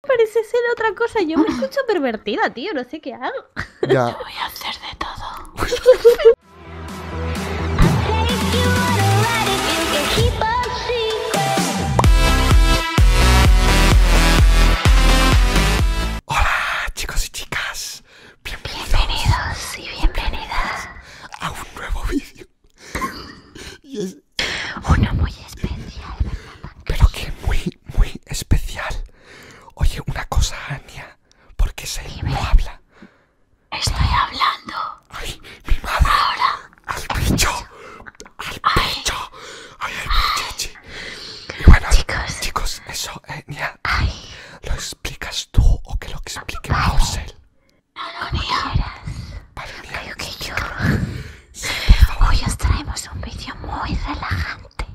parece ser otra cosa. Yo me ah. escucho pervertida, tío. No sé qué hago. Yo voy a hacer de todo. Hola, chicos y chicas. Bienvenidos. Bienvenidos y bienvenidas a un nuevo vídeo. y uno muy especial. Pero que muy, muy especial. Oye, una cosa, Ania. porque qué se no habla? Estoy hablando. ¡Ay, mi madre! ¡Ahora! ¡Al bicho! ¡Al bicho! ¡Ay, ay, chichi! Y bueno, chicos, eso, Ania, Nia. ¿Lo explicas tú o que lo explique Marcel? No, lo quieras. Vale, Nia. que yo. Hoy os traemos un vídeo muy relajante.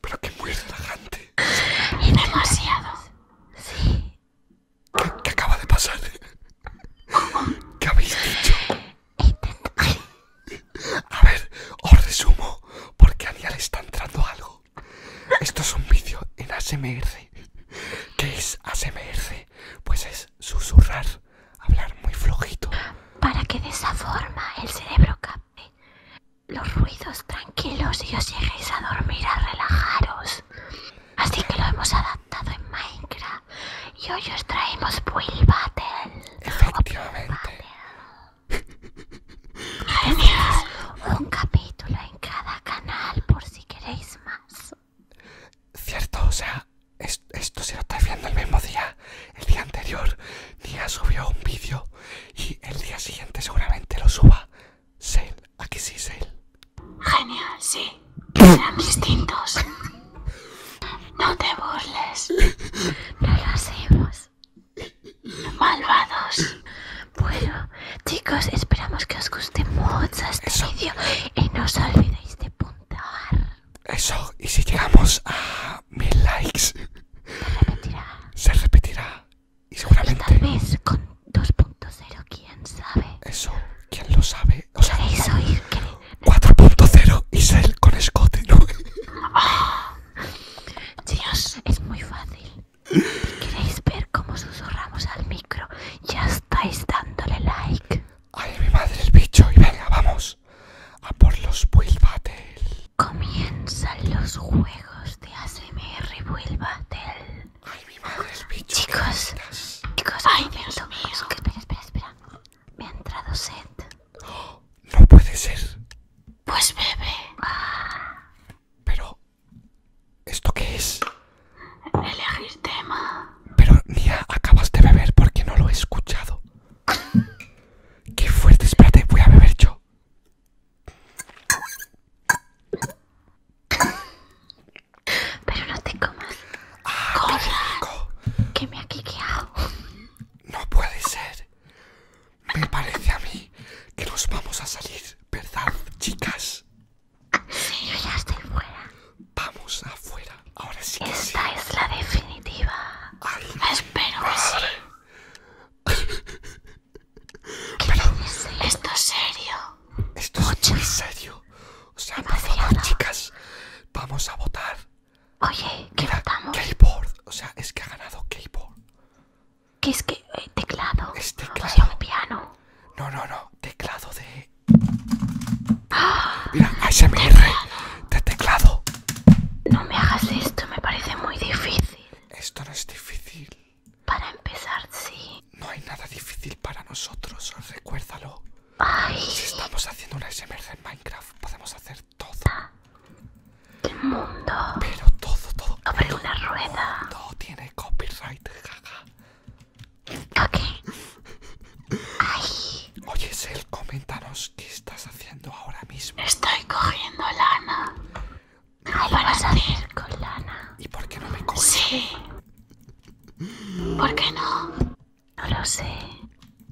Pero qué muy relajante. Y demasiado. Sí. ¿Qué, acaba de pasar? ¿Qué habéis dicho? A ver, os resumo, porque a está entrando algo. Esto es un vídeo en ASMR. ¿Qué es ASMR? Pues es susurrar hablar muy flojito. Para que de esa forma el cerebro capte los ruidos tranquilos y os lleguéis a dormir a relajaros. Así que lo hemos adaptado en Minecraft y hoy os traemos Will Battle. Efectivamente. Un capítulo en cada canal por si queréis más. Cierto, o sea, esto se lo estáis viendo el mismo día, el día anterior, Nia subió un vídeo y el día siguiente seguramente lo suba. Sale, aquí sí, Sale. Genial, sí. sean distintos. No te burles. No lo hacemos. Malvados. Bueno, chicos, esperamos que os guste mucho este vídeo y no os olvidéis eso, y si llegamos a mil likes, se repetirá. Se repetirá. Y seguramente. Tal vez con 2.0, quién sabe. Eso, quién lo sabe. O sea, 4.0 y ser con Scott ¿no? Dios, es muy fácil. ¿Queréis ver cómo susurramos al micro? Ya está estáis dándole like. Ay, mi madre es bicho. Y venga, vamos. A por los Build Battle. Comienzan los juegos de ASMR Build Battle. Ay, mi madre el bicho. Chicos, chicos, ay, Dios mío. Que, espera, espera, espera. Me ha entrado set No puede ser. Pues bebé Pero, ¿Esto qué es? Elegir tema. Pero, Nia, acabas de beber porque no lo he escuchado. ¡Qué fuerte! Espérate, voy a beber yo. Pero no te comas. Ah, que me ha quiqueado. No puede ser. Me parece a mí que nos vamos a salir, ¿verdad, chicas? Sí, yo ya estoy fuera. Vamos afuera. Ahora sí que Esta es la definitiva. Ay, Espero ¿Qué Pero esto es serio. Esto es muy serio. O sea, Demasiado. chicas, vamos a votar. Oye, ¿qué votamos? votamos? Keyboard. O sea, es que ha ganado keyboard. ¿Qué es que eh, teclado? Es teclado. O sea, piano. No, no, no. Teclado de. Mira, ASMR de teclado. No me hagas esto, me parece muy difícil. Esto no es difícil. Para empezar, sí. No hay nada difícil para nosotros, recuérdalo. Ay. Si estamos haciendo una SMR en Minecraft, podemos hacer todo. El ah. mundo. Pero todo, todo. Abre una rueda. Todo tiene copyright, jaja. Ay. Oye, Sel, coméntanos qué estás haciendo ahora mismo. Estoy cogiendo lana. Ay, a salir con lana. ¿Y por qué no me coges? Sí. ¿Por qué no? No lo sé.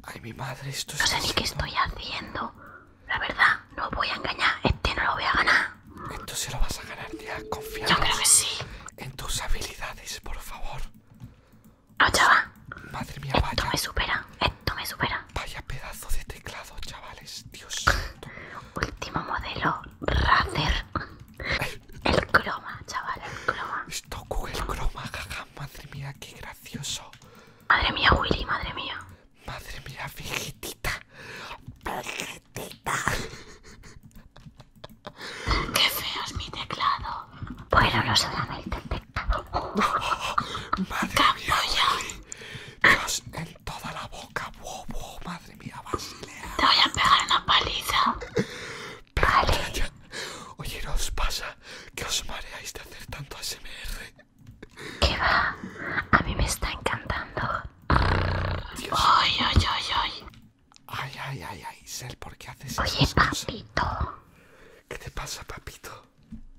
Ay, mi madre, esto es. No sé ni qué estoy haciendo. La verdad, no voy a engañar. Este no lo voy a ganar. Esto se lo vas a ganar, tía. Confía Yo creo que sí. en tus habilidades, por favor. No, ah, chaval. Madre mía, vaya. Esto me supera. Esto me supera. Vaya pedazo de teclado, chavales. Dios Último modelo Razer. El croma, chaval, el croma. Esto Google croma, jaja. Madre mía, qué gracioso. Madre mía, Willy, madre mía. Madre mía, fijitita. Qué feo es mi teclado. Bueno, no se solamente el teclado. madre mía, Dios en toda la boca, bobo. Madre mía, Basilea. Te voy a pegar una paliza. Vale. Oye, ¿no os pasa que os mareáis de hacer tanto ASMR? ¿Qué va? A mí me está encantando. Ay, ay, ay, ay. Ay, ay, ay, ¿por qué haces eso? Oye, papito. ¿Qué te pasa, papito?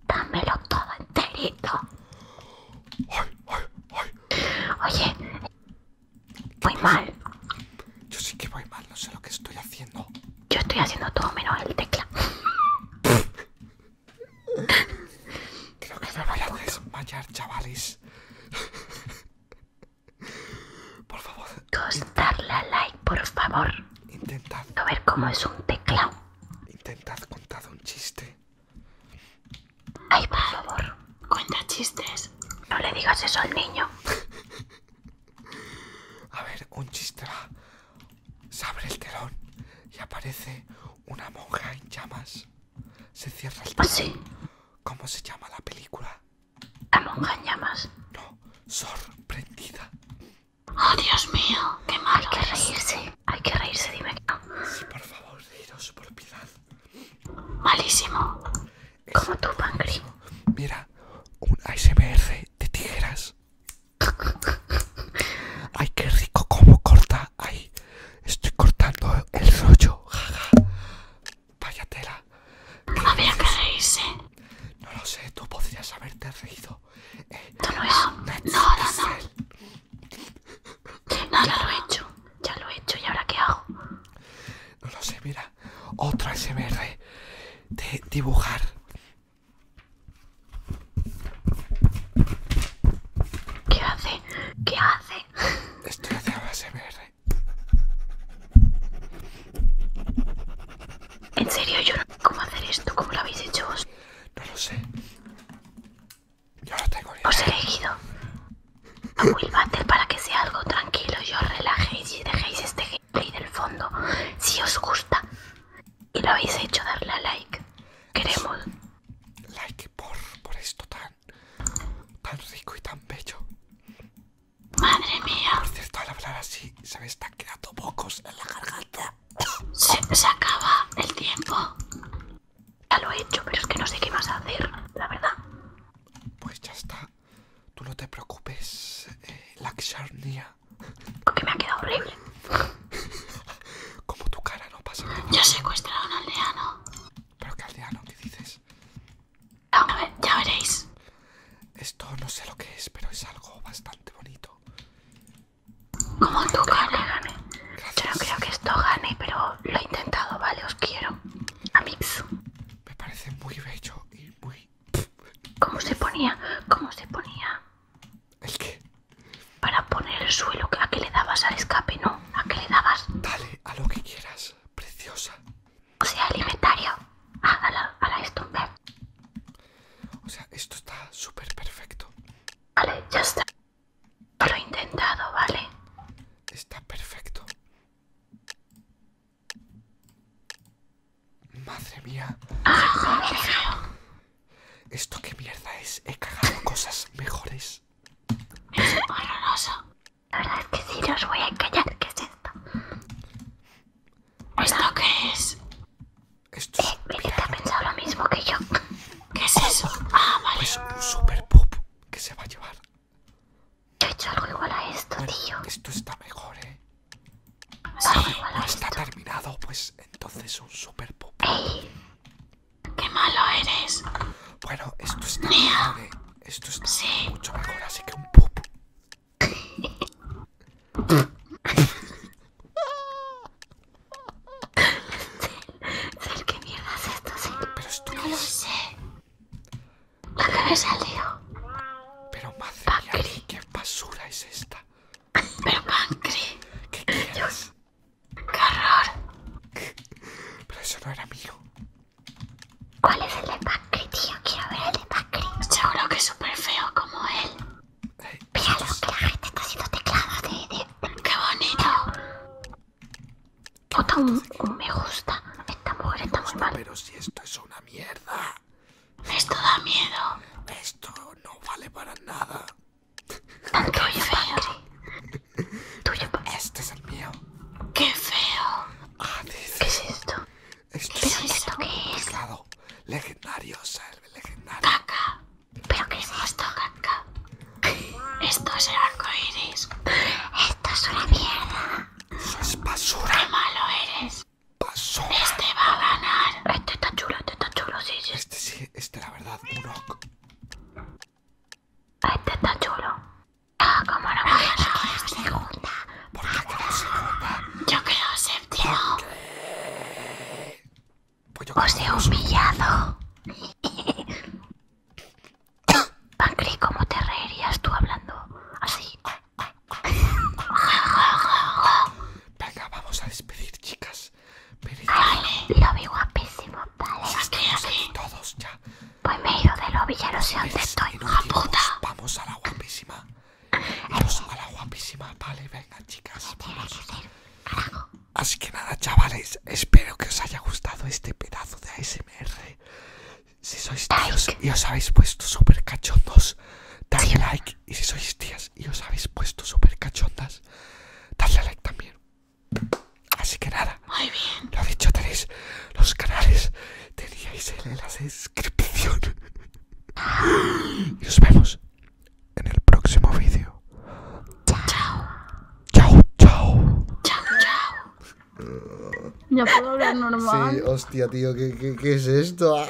Dámelo todo enterito. Oye, voy mal. Yo sí que voy mal, no sé lo que estoy haciendo. Yo estoy haciendo todo menos el tecla. Creo que me voy a desmayar, chavales. Por favor. Dos, darle like, por favor. Intentad. A ver cómo es un teclado. Intentad contar un chiste. Ay, por favor. Cuenta chistes. No le digas eso al niño. a ver, un chiste Se abre el telón y aparece una monja en llamas. Se cierra el ¿Cómo se llama la película? La monja llamas. No, sorprendida. Oh, Dios mío, qué malo. Hay que reírse. Hay que reírse, dime Sí, por favor, reíros por piedad. Malísimo. Como tu Mira, un ASMR de tijeras. Ay, qué rico ¡Cómo corta. Ay, Estoy cortando el rollo, jaja. Vaya tela. Había que reírse. ¿eh? No lo sé, tú podrías haberte reído. Eh, no lo he hecho. No, no, no. No, lo he hecho. Ya lo he hecho. ¿Y ahora qué hago? No lo sé, mira. Otra SMR de dibujar. ¿Qué hace? ¿Qué hace? Estoy haciendo En serio, yo no sé cómo hacer esto, cómo lo habéis hecho vos. No lo sé. Yo lo tengo Os he elegido a Will Battle para que sea algo tranquilo y os relajéis y dejéis este gameplay del fondo si os gusta. Y lo habéis hecho, darle a like. Queremos like por, por esto tan, tan rico y tan bello. Madre mía. Por cierto, al hablar así se me están quedando pocos en la garganta. Se, acaba el tiempo. Ya lo he hecho, pero es que no sé qué más hacer, la verdad. Pues ya está. Tú no te preocupes, eh, La Porque me ha quedado horrible. Como tu cara no pasa nada. Yo secuestrado a un aldeano. ¿Pero qué aldeano? ¿Qué dices? ya veréis. Esto no sé lo que es, pero es algo bastante bonito. Como tu cara. Yo no creo que esto gane, pero lo he intentado, vale, os quiero. Amix. Me parece muy bello y muy... ¿Cómo se ponía? ¿Cómo se ponía? ¿El qué? Para poner el suelo, ¿a que le dabas al escape, no? ¿A que le dabas? Dale, a lo que quieras, preciosa. O sea, alimentario Ah, a la, a la O sea, esto está súper perfecto. Vale, ya está. Lo he intentado, ¿vale? Está perfecto. Madre mía. Ah, esto qué mierda es. He cagado cosas mejores. Es horroroso. La verdad es que sí, no voy a engañar. ¿Qué es esto? ¿Esto qué es? Esto es. Eh, ha pensado lo mismo que yo. ¿Qué es eso? Ah, vale. Pues un super pop que se va a llevar. Yo he hecho algo igual a esto, tío. Esto está mejor, eh. no está terminado, pues entonces un super pop. ¡Qué malo eres! Bueno, esto es ¿eh? Esto mucho mejor, así que un popo. qué mierda es esto, Pero esto no lo sé. La me salió? Pero madre ¿qué basura es esta? Pero Pancri. ¿Qué quieres? ¡Qué horror! Pero eso no era mío. ¿Cuál es el de Pacri, tío? Quiero ver el de Pacri. Seguro que es súper feo como él. Eh, Mira lo que la gente está haciendo teclados de, ¡Qué bonito! Puta, me gusta. está muy mal. Pero si esto es una mierda. Esto da miedo. Esto no vale para nada. Tan tuyo, Tuyo, Este es el mío. ¡Qué feo! Ah, ¿Qué es esto? Esto es esto qué es? Legendario, serve, legendario. ¡Caca! ¿Pero qué es esto, caca? Esto es el arco iris. Esto es una mierda. Eso es basura. ¡Qué malo eres! Basura. Este va a ganar. Este está chulo, este está chulo, sí, sí. Este sí este, la verdad, un rock. Este está chulo. Ah, como no voy a quedar segunda. ¿Por qué quedó segunda? Yo creo, séptimo. Pues yo Os he humillado. Pancri, ¿cómo te reirías tú hablando así? Venga, vamos a despedir, chicas. Pero vale, lo vi guapísimo, vale. Pues todos ya. Pues me he ido de lobby, ya no sé dónde estoy, hija puta. Vamos a la guapísima. Vamos a la guapísima, vale, venga, chicas. Así que nada, chavales, espero que os haya gustado este pedazo de ASMR. Si sois tíos y os habéis puesto súper cachondos, dale like. Y si sois tías y os habéis puesto súper cachondas, dale like también. Así que nada, Muy bien. lo dicho, tenéis los canales, teníais en la descripción. Y nos vemos en el próximo vídeo. Chao. Chao, chao. Chao, chao. Ya puedo hablar normal. Sí, hostia, tío, ¿qué, qué es esto?